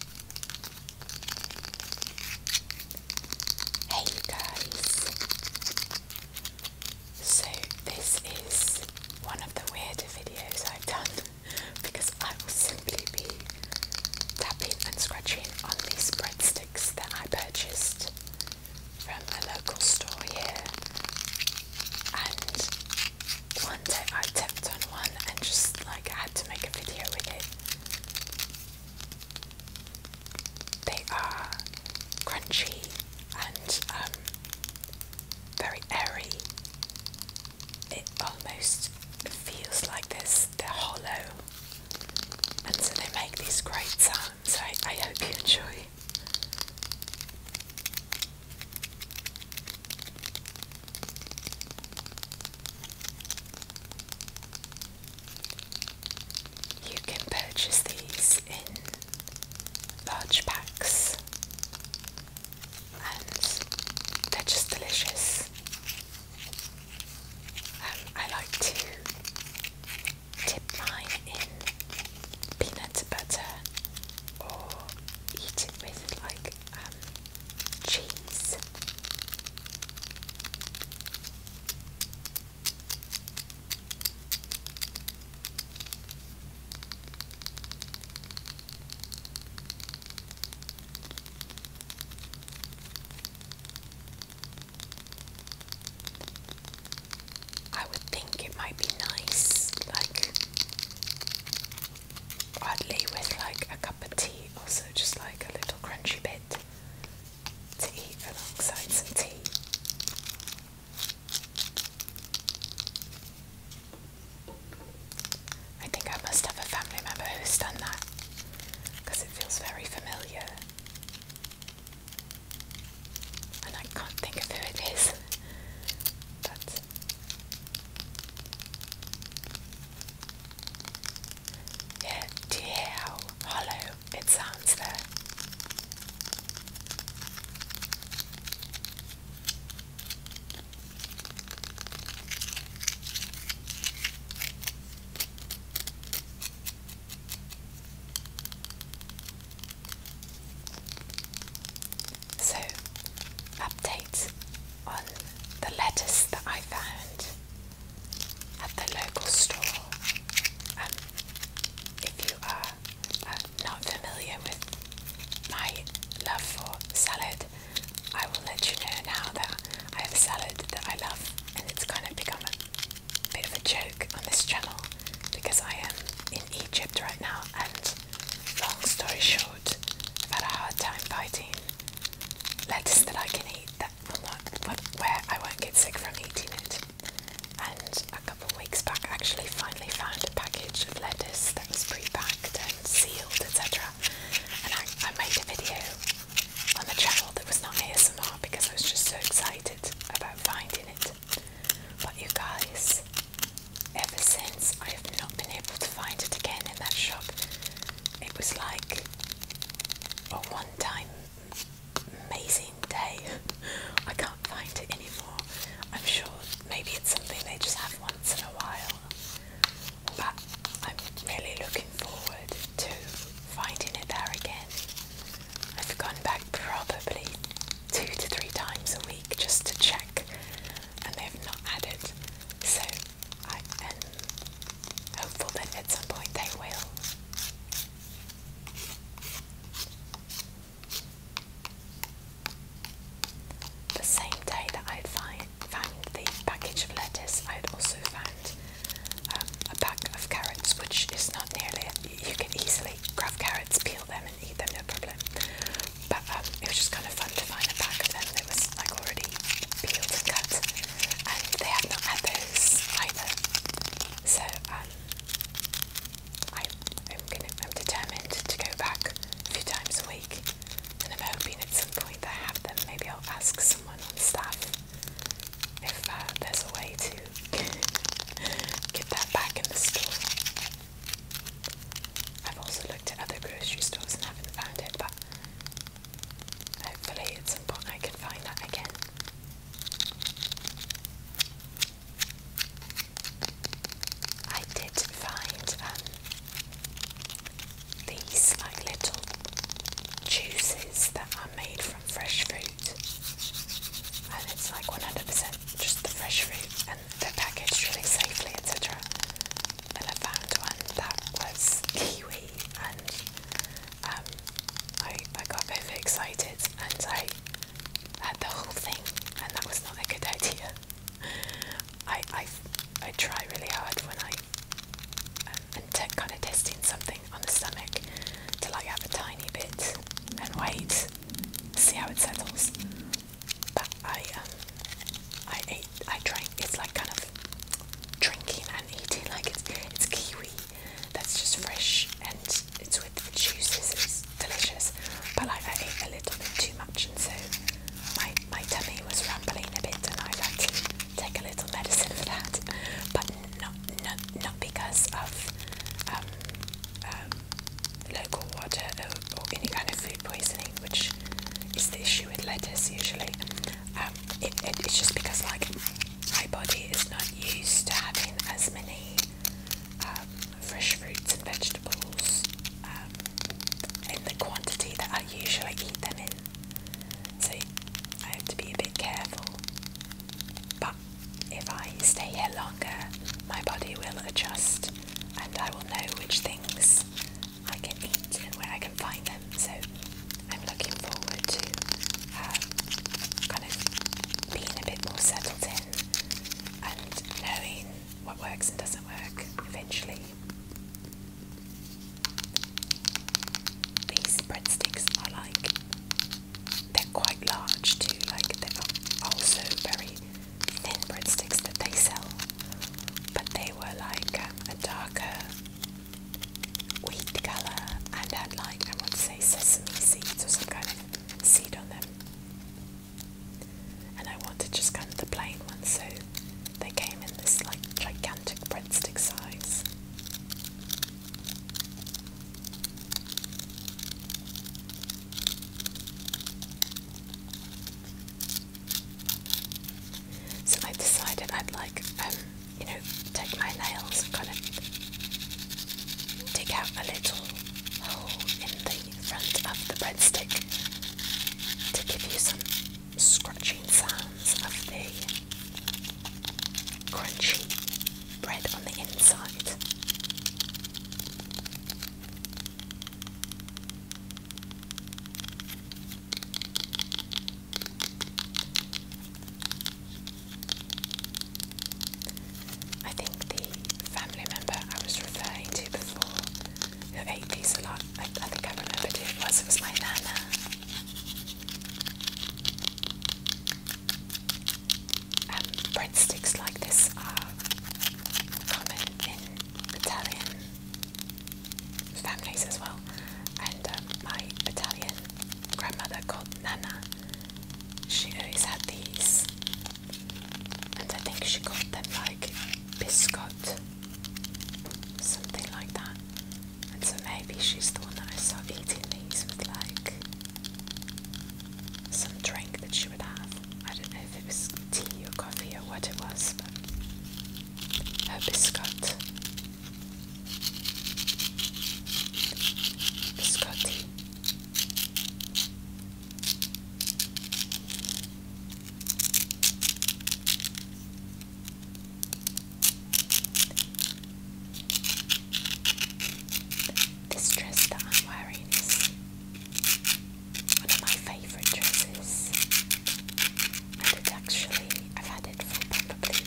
Hey guys! So this is one of the weirder videos I've done because I will simply be tapping and scratching on these breadsticks that I purchased from a local store here and one day I tapped on one and just like I had to make a video with it. They are crunchy and um, very airy. It almost feels like this, they're hollow. And so they make these great sounds. I, I hope you enjoy. You can purchase these in large packs and they're just delicious. Um, I like to dip mine in peanut butter or eat it with like um, cheese. I would think it might be nice, like oddly with like a cup of tea, also just like a little crunchy bit to eat alongside some tea. I think I must have a family member who's done that because it feels very familiar. And I can't think of who it is, but do you hear how hollow it sounds there? So, updates on the lettuce that I found at the local store. And um, if you are uh, not familiar with my love for salad, I will let you know now that I have a salad that I love, and it's kind of become a bit of a joke on this channel because I am in Egypt right now and Long story short, I've had a hard time biting lettuce that I can eat that will not, where I won't get sick from eating it. And a couple weeks back, I actually finally found a package of lettuce that was pre-packed and sealed, etc. And I made a video on the channel that was not ASMR because I was just so excited about finding it. But you guys, ever since I have not been able to find it again in that shop, it was like a one time amazing day. I can't find it anymore. I'm sure maybe it's something they just have once in a while. But I'm really looking forward to finding it there again. I've gone back probably two to three times a week just to check, and they've not added. So I am hopeful that at some point they will. The same day that I find, found the package of lettuce, I had also found um, a pack of carrots, which is not nearly. You can easily grab carrots, peel them, eat them, no problem. But um, it was just kind of fun to find a pack of them that was like already peeled and cut, and they had not had those either. So um, I, am I'm determined to go back a few times a week, and I'm hoping at some point I have them. Maybe I'll ask someone on staff if uh, there's a way to get that back in the store. I've also looked at other grocery stores and haven't found it, but hopefully it's important. I can find that again. I did find um, these like little juices that are made from fresh fruit and it's like 100% just the fresh fruit, and they're packaged really safely, etc. And I found one that was kiwi, and um, I, I got overexcited, and I had the whole thing, and that was not a good idea. I I, I try really hard when I um, and kind of testing something on the stomach to like have a tiny bit and wait, see how it settles. But I um, I ate I drank it's like kind of drinking and eating like it's it's kiwi that's just fresh and it's with the juices, it's delicious. But like I ate a little bit too much and so my my tummy was rumbling a bit and I had to take a little medicine for that. But not not because of um, um, local water or, any kind of food poisoning, which is the issue with lettuce usually. Um, it's just because like my body is not used to having as many fresh fruits and vegetables in the quantity that I usually eat them in. So I have to be a bit careful. But if I stay here longer, my body will adjust and I will know which things I can eat and where I can find them. So I'm looking forward to um, kind of being a bit more settled in and knowing what works and doesn't work eventually these breadsticks are like they're quite large too, like they're also very thin breadsticks that they sell, but they were like um, a, darker wheat colour and had like I want to say sesame seeds or some kind of seed on them. And I wanted just kind of the plain ones, so they came in this like gigantic breadstick size. So I decided I'd like, um, you know, take my nails and kind of dig out a little hole in the front of the breadstick to give you some scratching sounds of the crunchy bread on the inside. I think the family member I was referring to before who ate these a lot, I, think I remember who it was, it was my nana breadsticks like this are common in Italian families as well, and um, my Italian grandmother called Nana, she always had these, and I think she called them like biscott, something like that. And so maybe she's the one that I saw eating these with like some drink that she would have. I don't know if it was tea or coffee or what it was, but her biscuit. Biscotti. This dress that I'm wearing is one of my favourite dresses, and it actually, I've had it for probably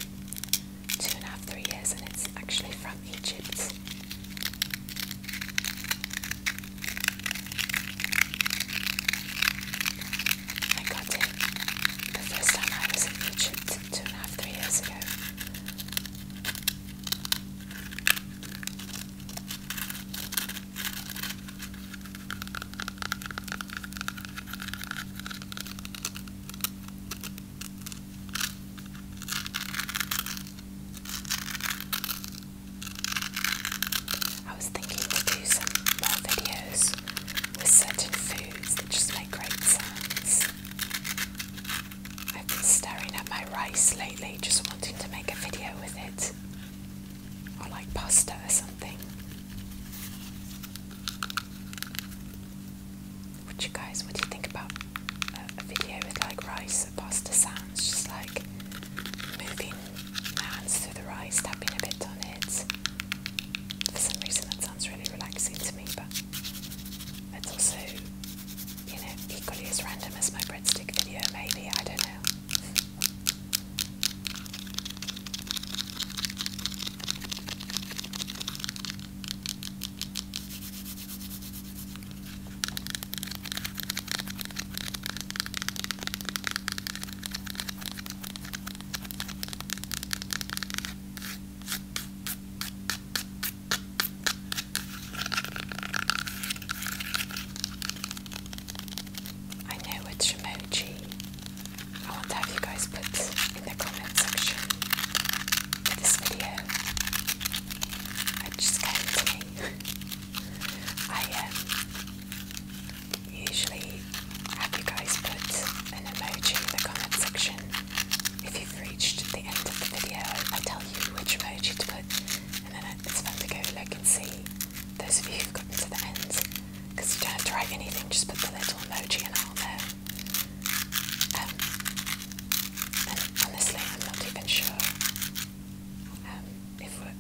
two and a half, three years, and it's actually from Egypt. I got it the first time I was in Egypt two and a half, three years ago. I was thinking to do some more videos with certain foods that just make great sounds. I've been staring at my rice lately, just wanting to make a video with it. Or like pasta or something. What you guys, what do you think about a, a video with like rice or pasta sounds? Just like moving my hands through the rice, tapping a bit on it. For some reason, that sounds really relaxing to me, but it's also, you know, equally as random as my breadstick video, maybe. I don't know. I know which emoji I want to have you guys put in the comment section for this video. just came I um, usually have you guys put an emoji in the comment section. If you've reached the end of the video, I tell you which emoji to put, and then it's fun to go look and see those of you who've gotten to the end, because you don't have to write anything, just put the little emoji and I'll um, and honestly, I'm not even sure um, if we're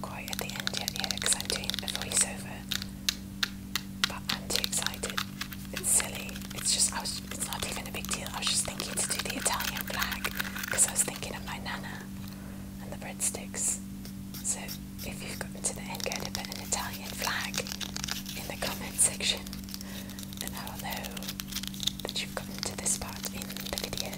quite at the end yet here, because I'm doing a voiceover, but I'm too excited. It's silly. It's just I was. It's not even a big deal. I was just thinking to do the Italian flag because I was thinking of my nana and the breadsticks. So if you've gotten to the end, go to put an Italian flag in the comment section, and I will know that you've gotten to this part in the video.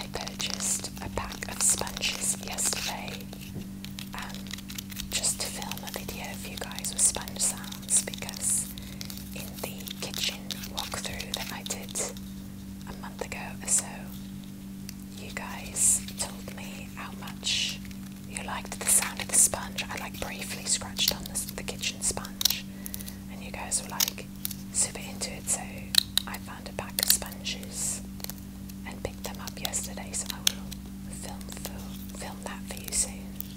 I purchased a pack of sponges yesterday. Um, just to film a video for you guys with sponge sounds because in the kitchen walkthrough that I did a month ago or so, you guys told me how much you liked the sound of the sponge. I like briefly scratched on the, kitchen sponge, and you guys were like super into it. So I found a pack of sponges and picked them up yesterday. So I will film for, film that for you soon. Okay,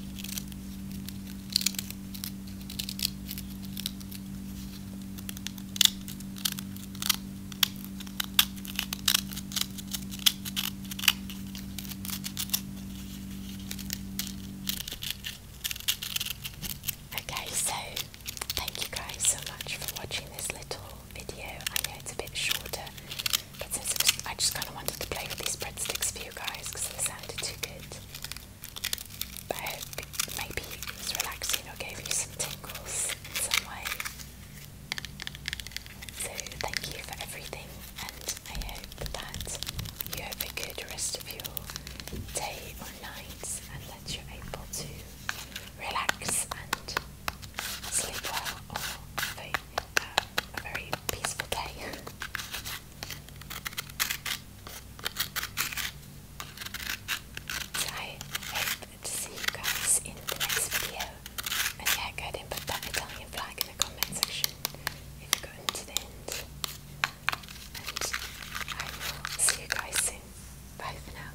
so thank you guys so much for watching this little video. I know it's a bit shorter but since I just kind of wanted to play with these breadsticks for you guys because they sounded too good. But maybe it was relaxing or gave you some tingles some way. So thank you for everything, and I hope that you have a good rest of your day or night, and that you're able to relax and sleep well or have uh, a very peaceful day. so I hope to see you guys in the next video. And yeah, go ahead and put that Italian flag in the comment section if you've gotten to And I will see you guys soon. Bye for now.